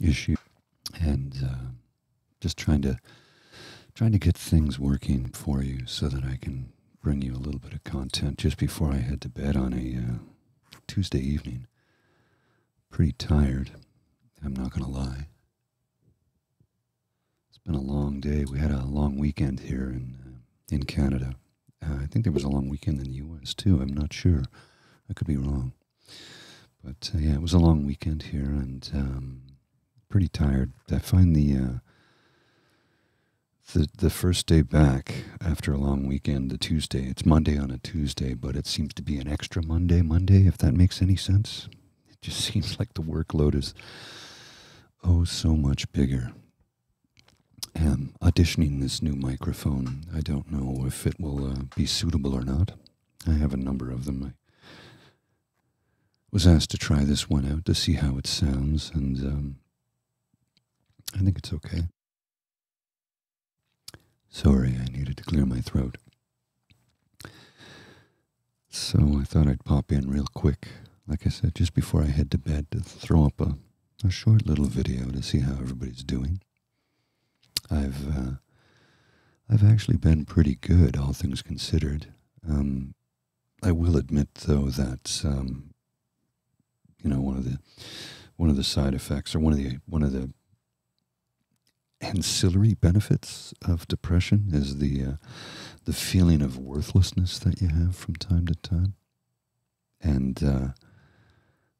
issue, and uh, just trying to trying to get things working for you so that I can bring you a little bit of content just before I head to bed on a uh, Tuesday evening. Pretty tired. I'm not going to lie. It's been a long day. We had a long weekend here in uh, in Canada. I think there was a long weekend in the U.S. too. I'm not sure. I could be wrong. But uh, yeah, it was a long weekend here and um, pretty tired. I find the, uh, the the first day back after a long weekend, the Tuesday. It's Monday on a Tuesday, but it seems to be an extra Monday Monday. If that makes any sense, it just seems like the workload is oh so much bigger. Am um, auditioning this new microphone. I don't know if it will uh, be suitable or not. I have a number of them. I was asked to try this one out to see how it sounds, and um, I think it's okay. Sorry, I needed to clear my throat. So I thought I'd pop in real quick, like I said, just before I head to bed, to throw up a short little video to see how everybody's doing. I've uh, I've actually been pretty good, all things considered. Um, I will admit, though, that um, you know one of the one of the side effects or one of the one of the ancillary benefits of depression is the uh, the feeling of worthlessness that you have from time to time, and uh,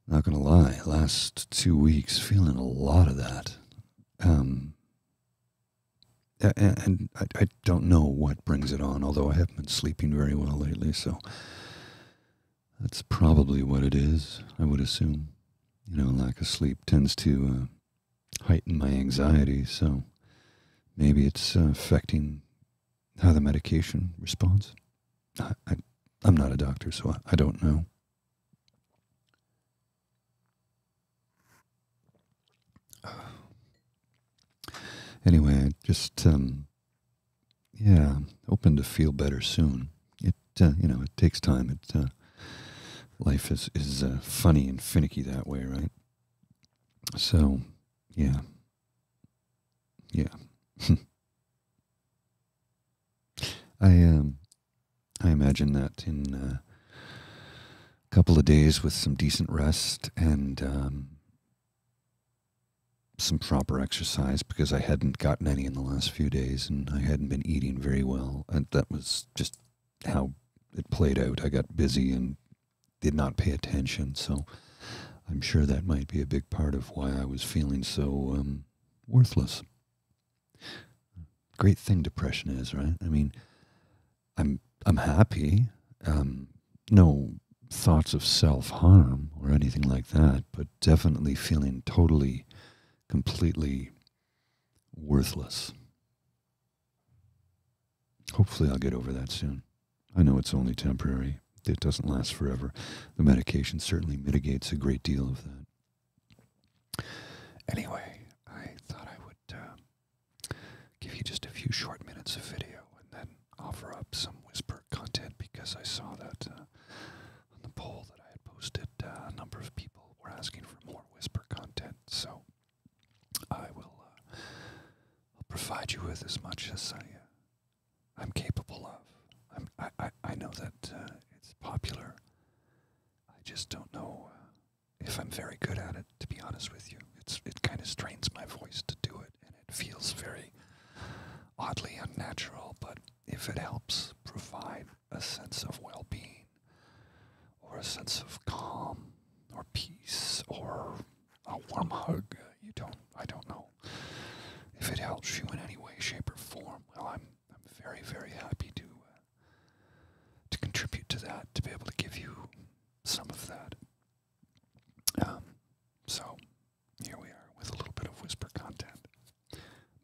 not gonna lie, last two weeks feeling a lot of that. Um, and, I, don't know what brings it on, although I haven't been sleeping very well lately, so that's probably what it is, I would assume. You know, lack of sleep tends to uh, heighten my anxiety, so maybe it's uh, affecting how the medication responds. I, I, am not a doctor, so I don't know. Anyway, just um, yeah, hoping to feel better soon. It uh, you know it takes time. It uh, life is is uh, funny and finicky that way, right? So yeah, yeah. I um, I imagine that in uh, a couple of days with some decent rest and um, some proper exercise, because I hadn't gotten any in the last few days and I hadn't been eating very well, and that was just how it played out. I got busy and did not pay attention, so I'm sure that might be a big part of why I was feeling so um, worthless. Great thing depression is, right? I mean, I'm I'm happy. Um, no thoughts of self harm or anything like that, but definitely feeling totally, completely worthless. Hopefully, I'll get over that soon. I know it's only temporary, it doesn't last forever. The medication certainly mitigates a great deal of that. Anyway, I thought I would uh, give you just a few short minutes of video and then offer up some whisper content because I saw that uh, on the poll that I had posted, uh, a number of people were asking for more whisper content. So I will provide you with as much as I, am capable of. i I, know that it's popular I just don't know if I'm very good at it, to be honest with you. It's it kind of strains my voice to do it, and it feels very oddly unnatural. But if it helps provide a sense of well-being, or a sense of calm, or peace, or a warm hug, you don't. I don't know if it helps you in any way, shape, or form. Well, I'm I'm very, very happy to uh, to contribute to that, to be able to give you some of that. Um, so here we are with a little bit of whisper content,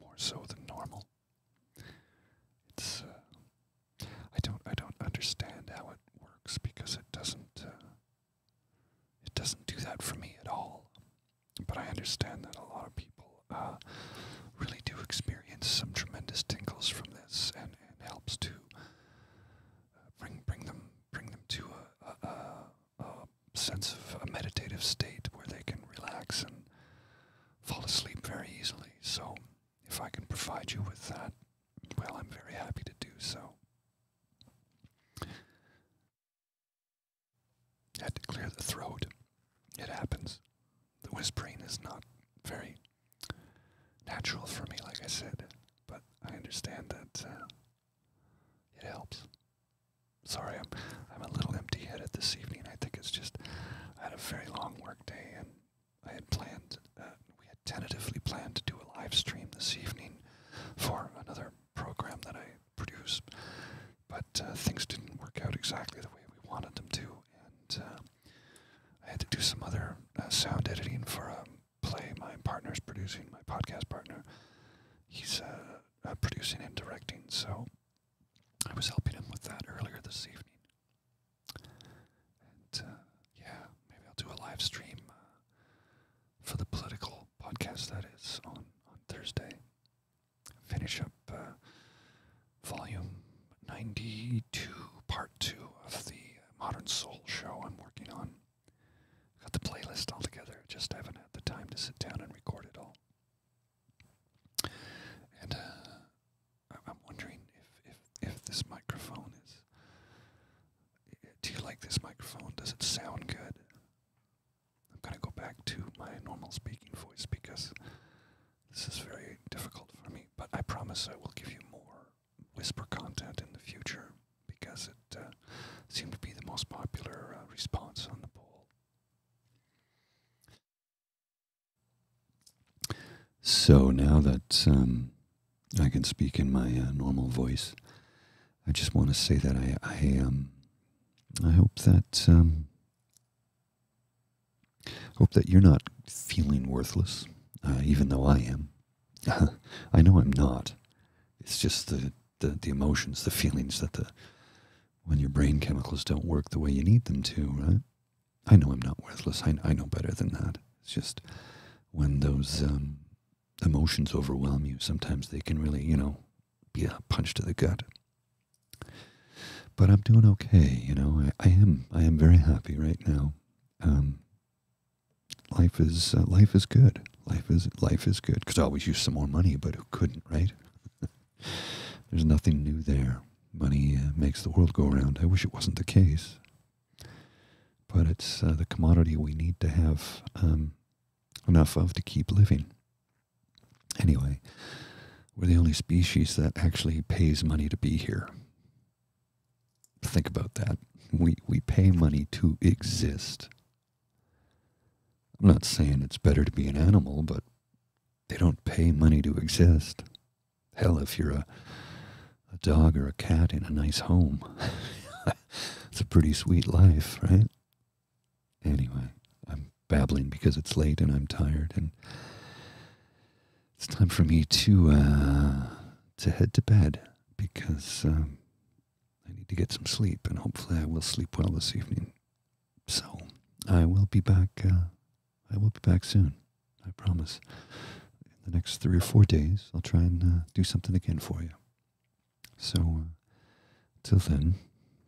more so than normal. It's uh, I don't I don't understand how it works because it doesn't uh, it doesn't do that for me at all. But I understand that a lot of people uh, really do experience some tremendous tingles from this, and, it helps to uh, bring bring them bring them to a sense of a meditative state where they can relax and fall asleep very easily. So, if I can provide you with that, well, I'm very happy to do so. Had to clear the throat. It happens. The whispering is not very natural for me, like I said, but I understand that uh, it helps. Sorry, I'm I'm a little empty-headed this evening. I think it's just I had a very long work day, and I had planned, uh, we had tentatively planned to do a live stream this evening for another program that I produce, but uh, things didn't work out exactly the way we wanted them to, and uh, I had to do some other uh, sound editing for a um, play my partner's producing, my podcast partner. He's producing and directing, so I was helping him with that earlier this evening. And yeah, maybe I'll do a live stream for the political podcast that is on, on Thursday finish up uh, volume 92, part two of the Modern Soul show I'm working on. Got the playlist all together, just haven't had the time to sit down and record it all. And uh, I'm wondering if, if, if this microphone is. Do you like this microphone? Does it sound good? I'm going to go back to my normal speaking voice because this is very difficult for me. But I promise I will give you more whisper content in the future because it uh, seemed to be the most popular uh, response on the poll. So now that um, I can speak in my uh, normal voice, I just want to say that I, I, um, I hope that um, Hope that you're not feeling worthless, uh, even though I am. I know I'm not. It's just the, the, emotions, the feelings that the when your brain chemicals don't work the way you need them to, right? I know I'm not worthless. I, know better than that. It's just when those um, emotions overwhelm you, sometimes they can really, you know, be a punch to the gut. But I'm doing okay, you know. I, am. I am very happy right now. Um, life is uh, life is good. Life is life is good. Could always use some more money, but who couldn't, right? There's nothing new there. Money uh, makes the world go round. I wish it wasn't the case, but it's uh, the commodity we need to have um, enough of to keep living. Anyway, we're the only species that actually pays money to be here. Think about that. We, we pay money to exist. I'm not saying it's better to be an animal, but they don't pay money to exist. Hell, if you're a, a dog or a cat in a nice home, it's a pretty sweet life, right? Anyway, I'm babbling because it's late and I'm tired, and it's time for me to uh, to head to bed because um, I need to get some sleep, and hopefully I will sleep well this evening. So I will be back. Uh, I will be back soon. I promise. In the next three or four days, I'll try and uh, do something again for you. So, till then,